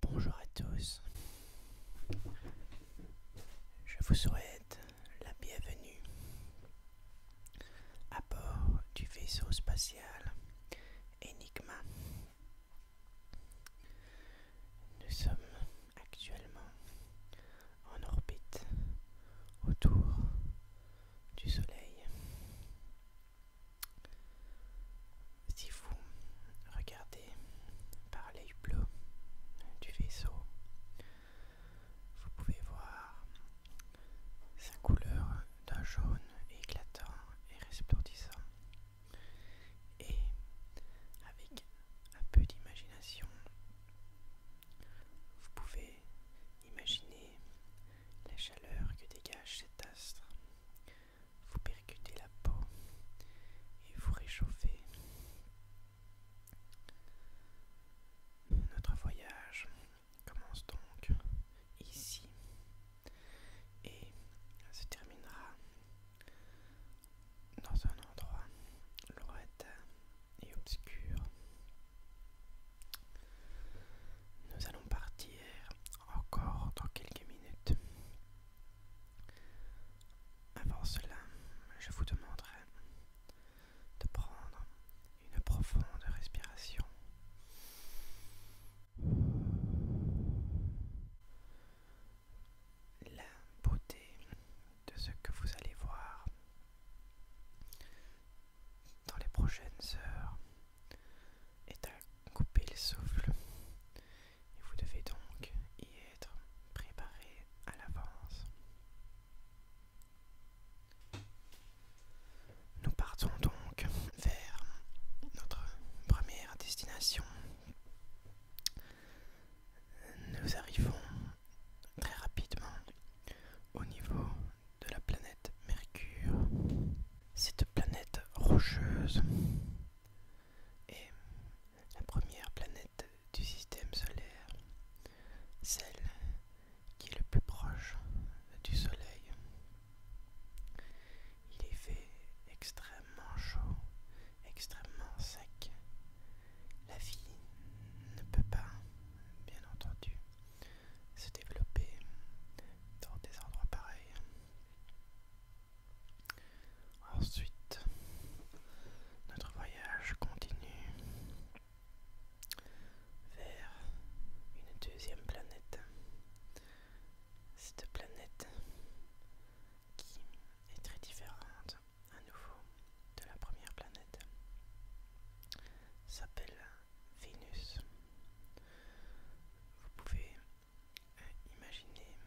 Bonjour à tous. Je vous souhaite la bienvenue à bord du vaisseau spatial Enigma. Nous sommes actuellement en orbite autour du soleil. Si vous regardez par l'œil bleu du vaisseau, vous pouvez voir sa couleur d'un jaune éclatant et resplendissant. Et avec un peu d'imagination, vous pouvez imaginer la chaleur que dégage cet astre. Vous percutez la peau et vous réchauffez. Notre voyage commence donc ici et se terminera dans un endroit loin et obscur. Nous allons partir encore dans quelques minutes. Avant cela, je vous demanderai de prendre une profonde respiration. La beauté de ce que vous allez voir dans les prochaines heures est à couper le souffle et vous devez donc y être préparé à l'avance. Nous partons donc vers notre première destination. Nous arrivons très rapidement au niveau de la planète Mercure. Cette planète rocheuse est la première planète du système solaire, celle qui est le plus proche du Soleil. Il est fait extrêmement chaud, extrêmement sec la vie ne peut pas, bien entendu, se développer dans des endroits pareils. Ensuite, notre voyage continue vers une deuxième planète. Cette planète qui est très différente à nouveau, de la première planète, s'appelle Vénus. Vous pouvez euh, imaginer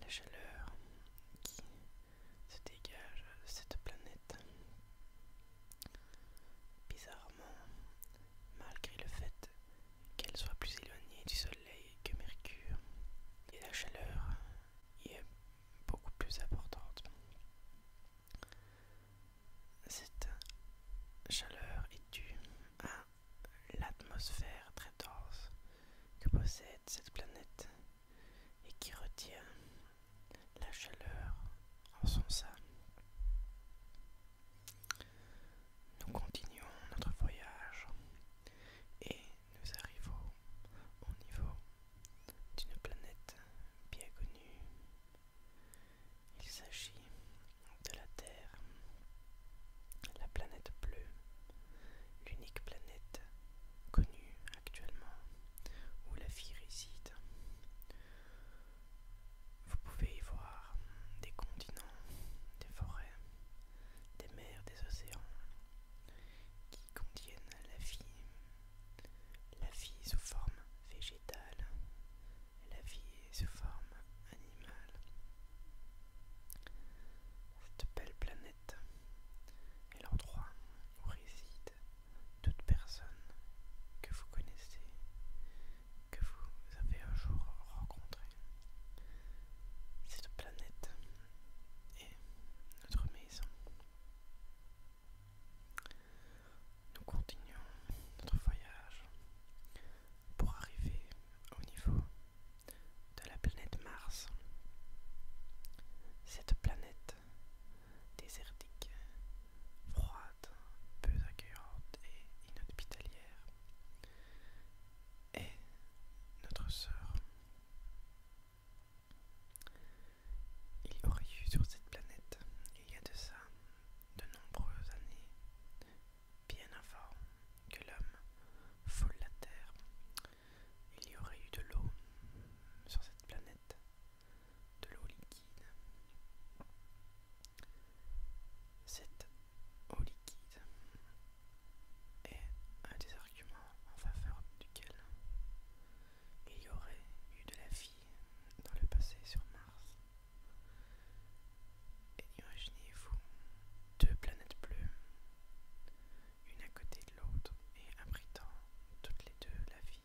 la chaleur qui se dégage de cette planète. Bizarrement, malgré le fait qu'elle soit plus éloignée du Soleil que Mercure, et la chaleur y est beaucoup plus importante. Cette chaleur est due à l'atmosphère très dense que possède cette planète et qui retient la chaleur en son sein. Nous continuons notre voyage et nous arrivons au niveau d'une planète bien connue. Il s'agit de la Terre, la planète bleue, l'unique planète connue actuellement où la vie réside. Vous pouvez y voir des continents, des forêts, des mers, des océans, qui contiennent la vie, la vie sous forme végétale, la vie sous forme animale. Cette belle planète est l'endroit où réside toute personne que vous connaissez, que vous avez un jour rencontré. Cette planète et notre maison. Nous continuons notre voyage pour arriver au niveau de la planète Mars. Cette planète désertique, froide, peu accueillante et inhospitalière et notre sœur. Il y aurait eu sur cette planète, il y a de ça, de nombreuses années, bien avant que l'homme foule la Terre, il y aurait eu de l'eau sur cette planète, de l'eau liquide. Cette au liquide est un des arguments en faveur duquel il y aurait eu de la vie dans le passé sur Mars. Et imaginez-vous deux planètes bleues, une à côté de l'autre et abritant toutes les deux la vie.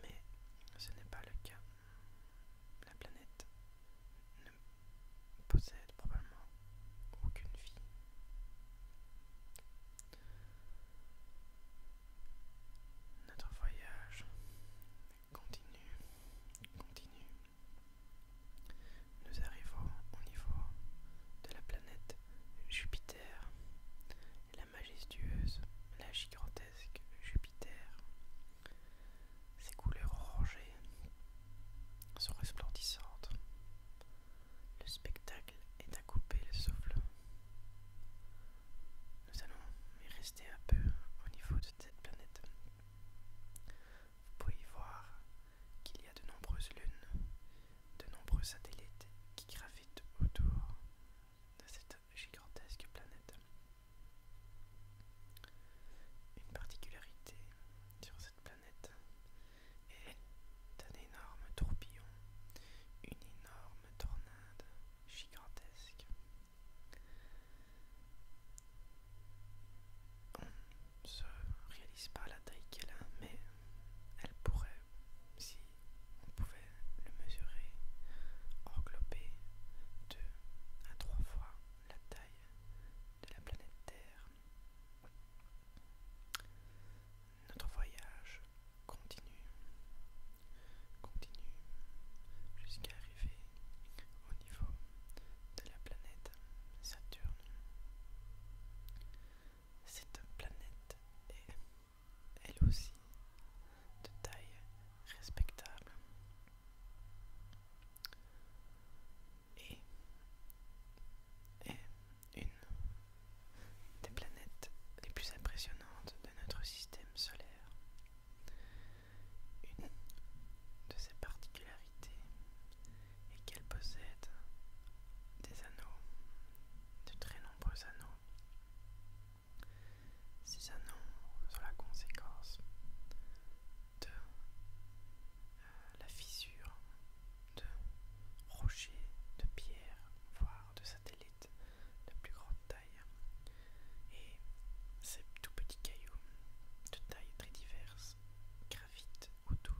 Mais ce n'est pas le cas la planète ne possède probablement aucune vie. Notre voyage continue, continue. Nous arrivons au niveau de la planète Jupiter, la majestueuse, la gigantesque Jupiter ces couleurs orangées sont resplendissantes. Le spectacle est à couper le souffle. Nous allons y rester un peu au niveau de cette planète. Vous pouvez voir qu'il y a de nombreuses lunes, de nombreux satellites qui gravitent autour de cette gigantesque planète. Une particularité sur cette planète est un énorme tourbillon, une énorme tornade gigantesque. On ne se réalise pas la taille qu'elle a, mais elle pourrait, si on pouvait le mesurer, englober deux à trois fois la taille de la planète Terre. Notre voyage continue, continue jusqu'à arriver au niveau de la planète Saturne. Cette planète est, elle aussi, de taille respectable et, est une des planètes les plus impressionnantes de notre système solaire. Une de ses particularités est qu'elle possède des anneaux, de très nombreux anneaux, ces anneaux sont la conséquence de euh, la fissure de rochers, de pierres, voire de satellites de plus grande taille. Et ces tout petits cailloux de taille très diverses gravitent autour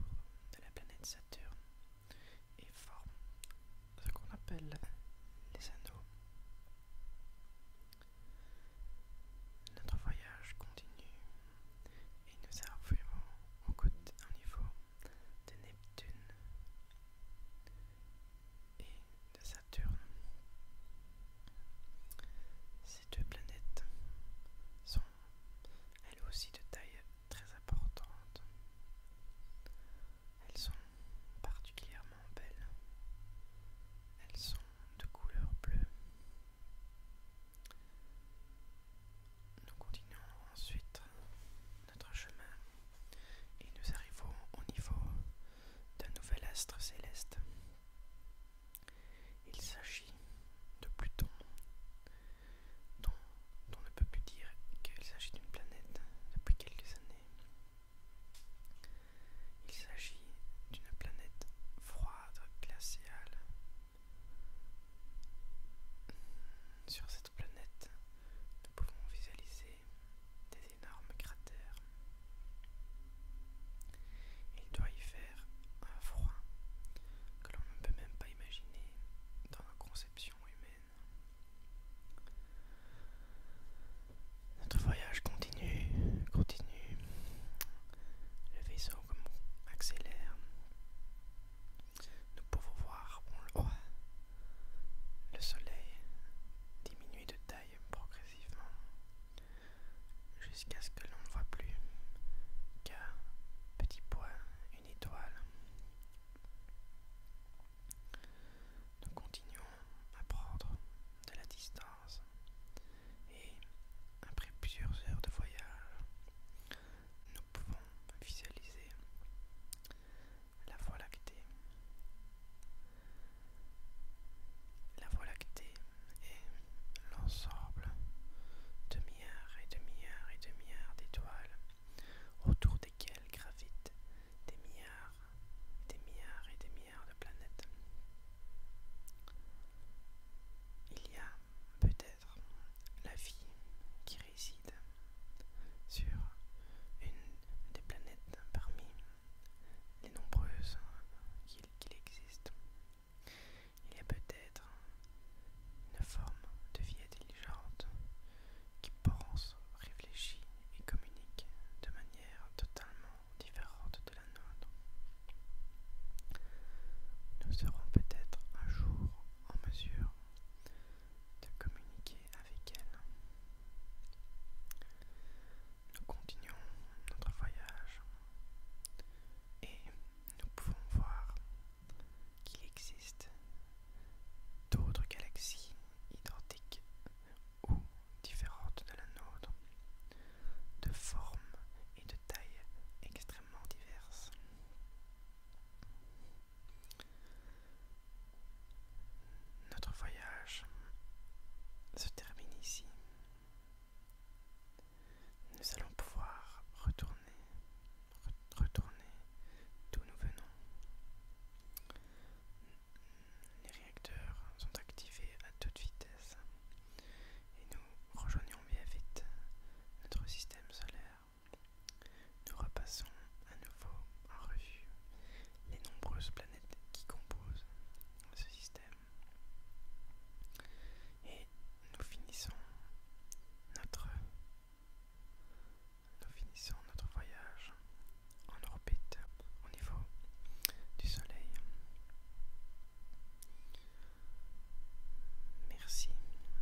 de la planète Saturne et forment ce qu'on appelle les anneaux. Notre voyage continue et nous arrivons au côté un niveau de Neptune et de Saturne. Ces deux planètes sont elles aussi de taille très importante. Elles sont particulièrement belles. Elles sont de couleur bleue. Nous continuons ensuite notre chemin et nous arrivons au niveau d'un nouvel astre céleste. Il s'agit de Pluton, dont on ne peut plus dire qu'il s'agit d'une planète depuis quelques années. Il s'agit d'une planète froide, glaciale. Sur cette planète, nous pouvons visualiser des énormes cratères. Il doit y faire un froid que l'on ne peut même pas imaginer dans la conception humaine. Notre voyage continue, continue. Le vaisseau accélère. Nous pouvons voir on le, voit, le soleil diminuer de taille progressivement jusqu'à ce que l'on ne voit plus qu'un petit point, une étoile. Nous continuons à prendre de la distance et après plusieurs heures de voyage, nous pouvons visualiser la Voie lactée. La Voie lactée est l'ensemble de milliards et de milliards et de milliards d'étoiles autour desquelles gravitent des milliards, des milliards et des milliards de planètes. Il y a peut-être la vie qui réside sur une des planètes parmi les nombreuses qu'il existe. Il y a peut-être une forme de vie intelligente qui pense, réfléchit et communique de manière totalement différente de la nôtre. Nous serons peut-être un jour en mesure de communiquer avec elle. Nous continuons notre voyage et nous pouvons voir qu'il existe d'autres galaxies identiques ou différentes de la nôtre, de forme et de taille extrêmement diverses. Notre voyage se termine ici. Nous allons pouvoir retourner retourner, d'où nous venons. Les réacteurs sont activés à toute vitesse et nous rejoignons bien vite notre système solaire. Nous repassons à nouveau en revue les nombreuses planètes qui composent ce système. Et nous finissons notre nous finissons notre voyage en orbite au niveau du Soleil. Merci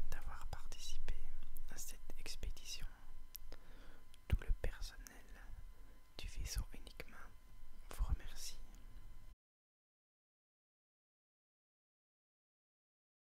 d'avoir participé à cette expédition. Tout le personnel du vaisseau uniquement vous remercie.